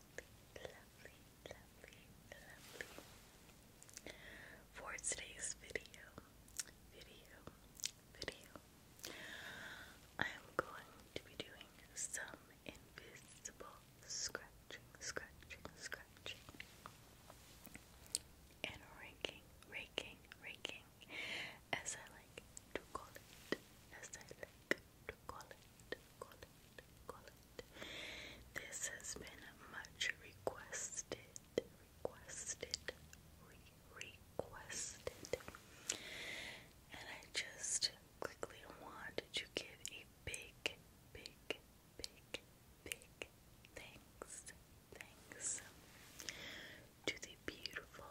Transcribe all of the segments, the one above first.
lovely, lovely, For today's video, video, video, I'm going to be doing some invisible scratching, scratching, scratching, and raking, raking, raking, as I like to call it, as I like this has been a much requested, requested, requested. And I just quickly want to give a big, big, big, big thanks, thanks to the beautiful,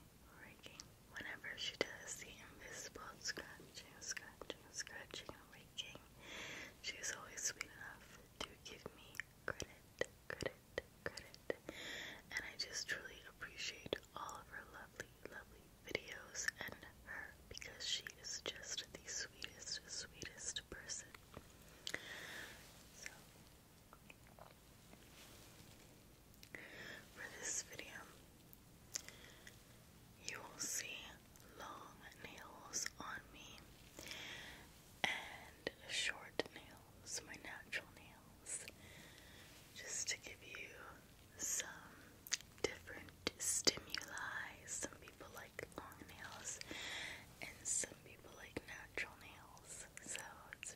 raking. Whenever she does the invisible scratching, scratching, scratching, and raking, she always sweet enough to give me credit, credit, credit. And I just truly appreciate all of her lovely, lovely videos and her because she is just the sweetest, sweetest person. So, for this video, you will see long nails on me and short nails, my natural nails, just to give you some different stimuli. Some people like long nails and some people like natural nails, so it's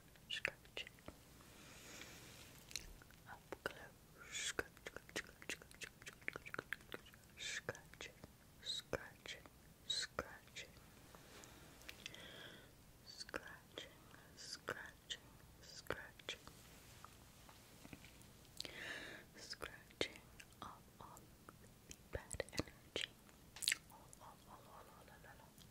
scratch. Up close, scratch, scratch, scratch, scratch, scratch, Scratching, scratching, scratching, scratching off all the bad energy, all, all, all, all, all, all, all,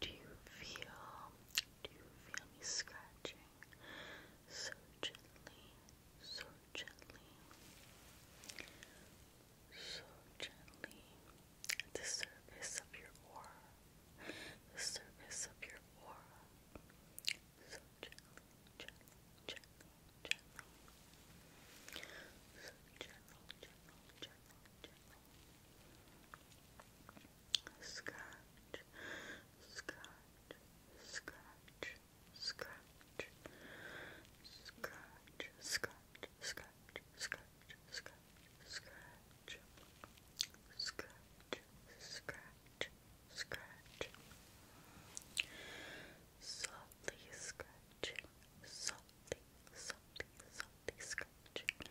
do you feel, do you feel me scratching so gently, so gently, so gently at the surface of your aura, the surface of your aura, so gently, gently, gently, gently, so gently, gently, gently, gently. Scratch, scratch, scratch, scratch, scratch, scratch, scratch, scratch, scratch, scratch, scratch, scratch, scratch. Softly scratching, softly, softly, softly scratching,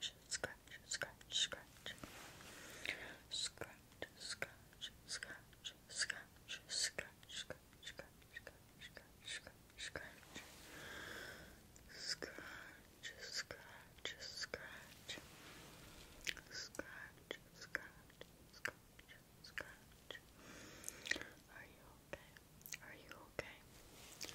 scratch, scratch, scratch, scratch, scratch, scratch, scratch, scratch, scratch, scratch, scratch, scratch, scratch, scratch, scratch, scratch, scratch, scratch, scratch, scratch. Are you okay? Are you okay?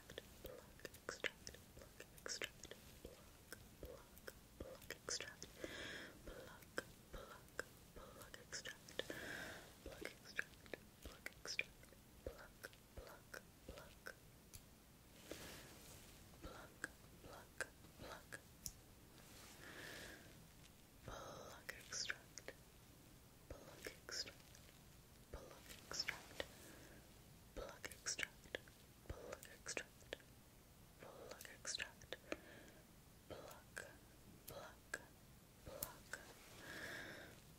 extract, pluck, extract, pluck, extract, pluck, pluck, pluck, extract, pluck, pluck, pluck, extract, pluck, extract, pluck, extract, pluck, pluck, pluck, pluck, pluck, pluck, pluck, extract. Pluck extract, Pluck extract. Pluck extract. Pluck extract. Pluck extract. Pluck. Pluck. Pluck. Pluck.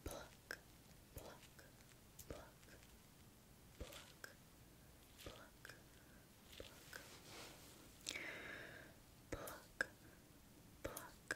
Pluck. Pluck. Pluck. Pluck. Pluck. Pluck. Pluck.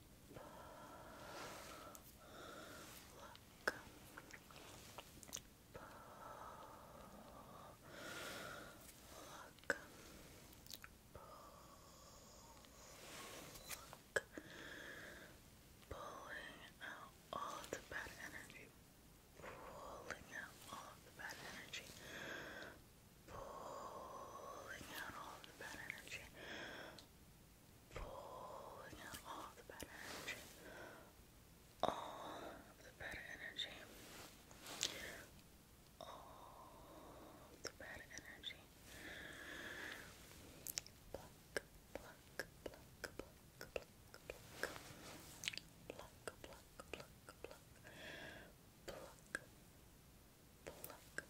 Look. Look. Pulling out all the bad energy. Pulling out all the bad energy. Pulling out all the bad energy pulling out all the bad energy, all the bad energy, all the bad energy. pluck, pluck, pluck, pluck, pluck, pluck, pluck, pluck, pluck, pluck, pluck, pluck, pluck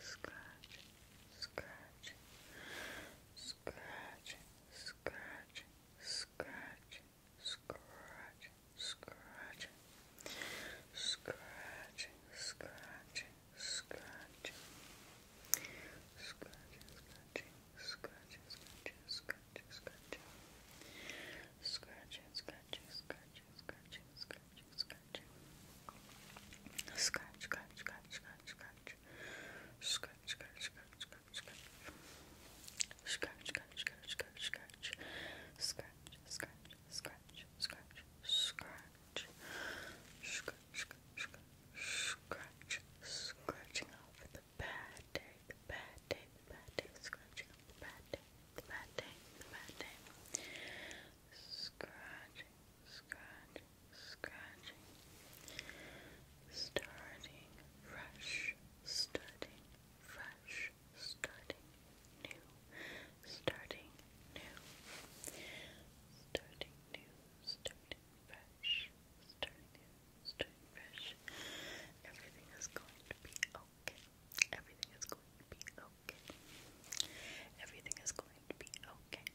scratch, scratch, scratch, scratch, scratch, scratch, scratch, scratch, scratch, scratch. Scratching, scratching, scratching, scratching, scratching, scratching, scratching, scratching, scratching, scratching, scratching, scratching. Scratch, scratch, scratch, scratch, scratch. Scratch, scratch, scratch, scratch, scratch. Scratch, scratch, scratch, scratch, scratch. Scratch, scratch, scratch, scratch, scratch. Scratch, scratch, scratch, scratching off the bad day, the bad day, the bad day, scratching off the bad day, the bad day, the bad day. Scratching scratch, scratching, starting fresh, starting fresh, starting new, starting new, starting new, starting fresh, starting new, starting fresh. Everything is going to be okay. Everything is going to be okay. Everything is going to be okay.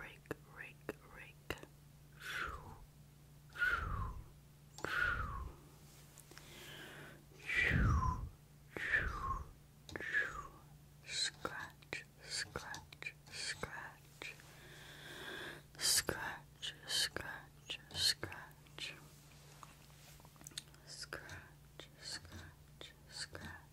rake, rake, rake, rake. Scratch, scratch, scratch. Scratch, scratch, scratch. Scratch, scratch, scratch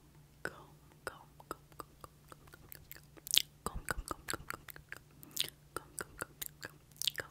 comb, comb, comb, comb, comb, comb, comb, comb, comb, comb, comb, comb, comb, comb, comb, comb,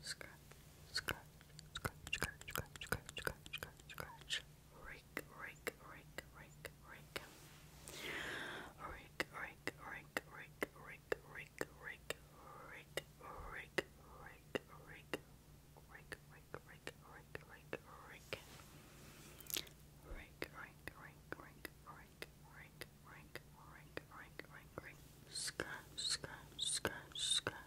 scratch, scratch, scratch, scratch, scratch, scratch, scratch, scratch, scratch, rake, rake, rake, rake, rake, rake, rake, rake, rake, rake, rake, rake, rake, rake, rake, rake. Rake, rake, rake, rake, rake, rake. Rake, rake, rake, rake, rake, rake, rake, rake, rake, rake, rake. Scratch, scratch, scratch, scratch,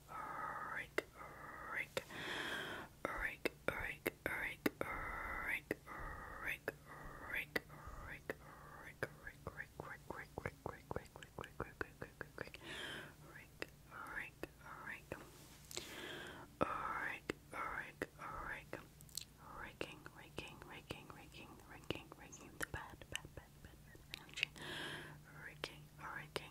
Rick, Rick, Rick, Rick, Rick, Rick, Rick, Rick, Rick, Rick, Raking, raking,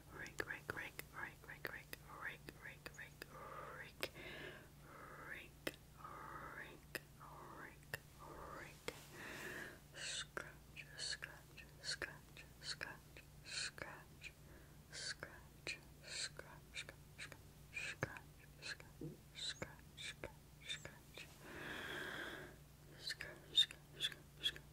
rake, rake, rake, rake, rake, rake, rake, rake, rake, rake, rake, rake, rake, rake, scratch, scratch, scratch, scratch, scratch, scratch, scratch, scratch, scratch, scratch, scratch, scratch, scratch, scratch, scratch, scratch,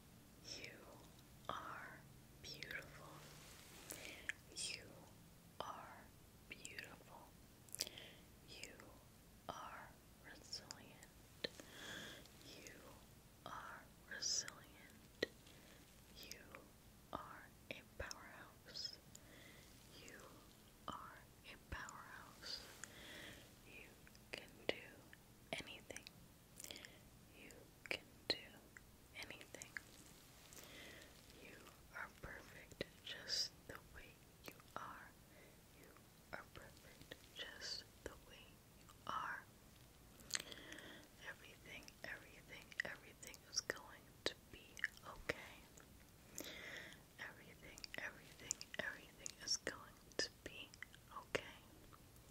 You are beautiful. You are beautiful. You are resilient. You are resilient. You are a powerhouse. You are a powerhouse. You can do anything. You can do anything. You are perfect just the way you are. You are perfect just the way you are. Everything, everything, everything is going to be okay. Everything, everything, everything is going to be okay.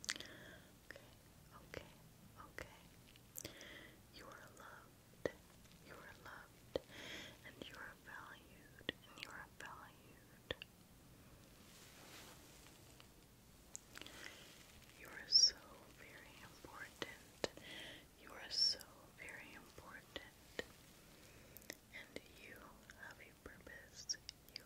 Okay, okay, okay. You are loved. You are loved. And you are valued. And you are valued. You are so very important. You are so very important. And you have a purpose. You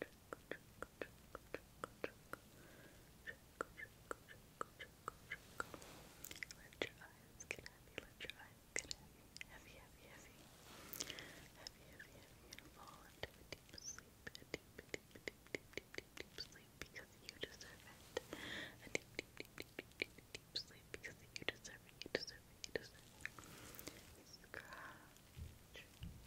Let your eyes get heavy, let your eyes get heavy, heavy, heavy, heavy, heavy, heavy, heavy, and fall into a deep sleep, a deep, deep, deep, deep, deep, deep, sleep because you deserve it. A deep, deep, deep, deep, deep, deep, sleep because you deserve it, you deserve it, you deserve it. Scratch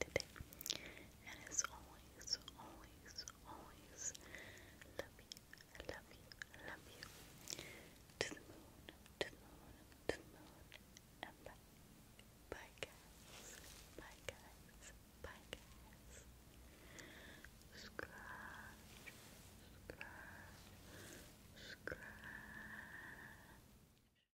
today. And as always, always, always, love you, love you, love you. To the moon, to the moon, to the moon, and bye. Bye guys, bye guys, bye guys. Scratch, scratch, scratch.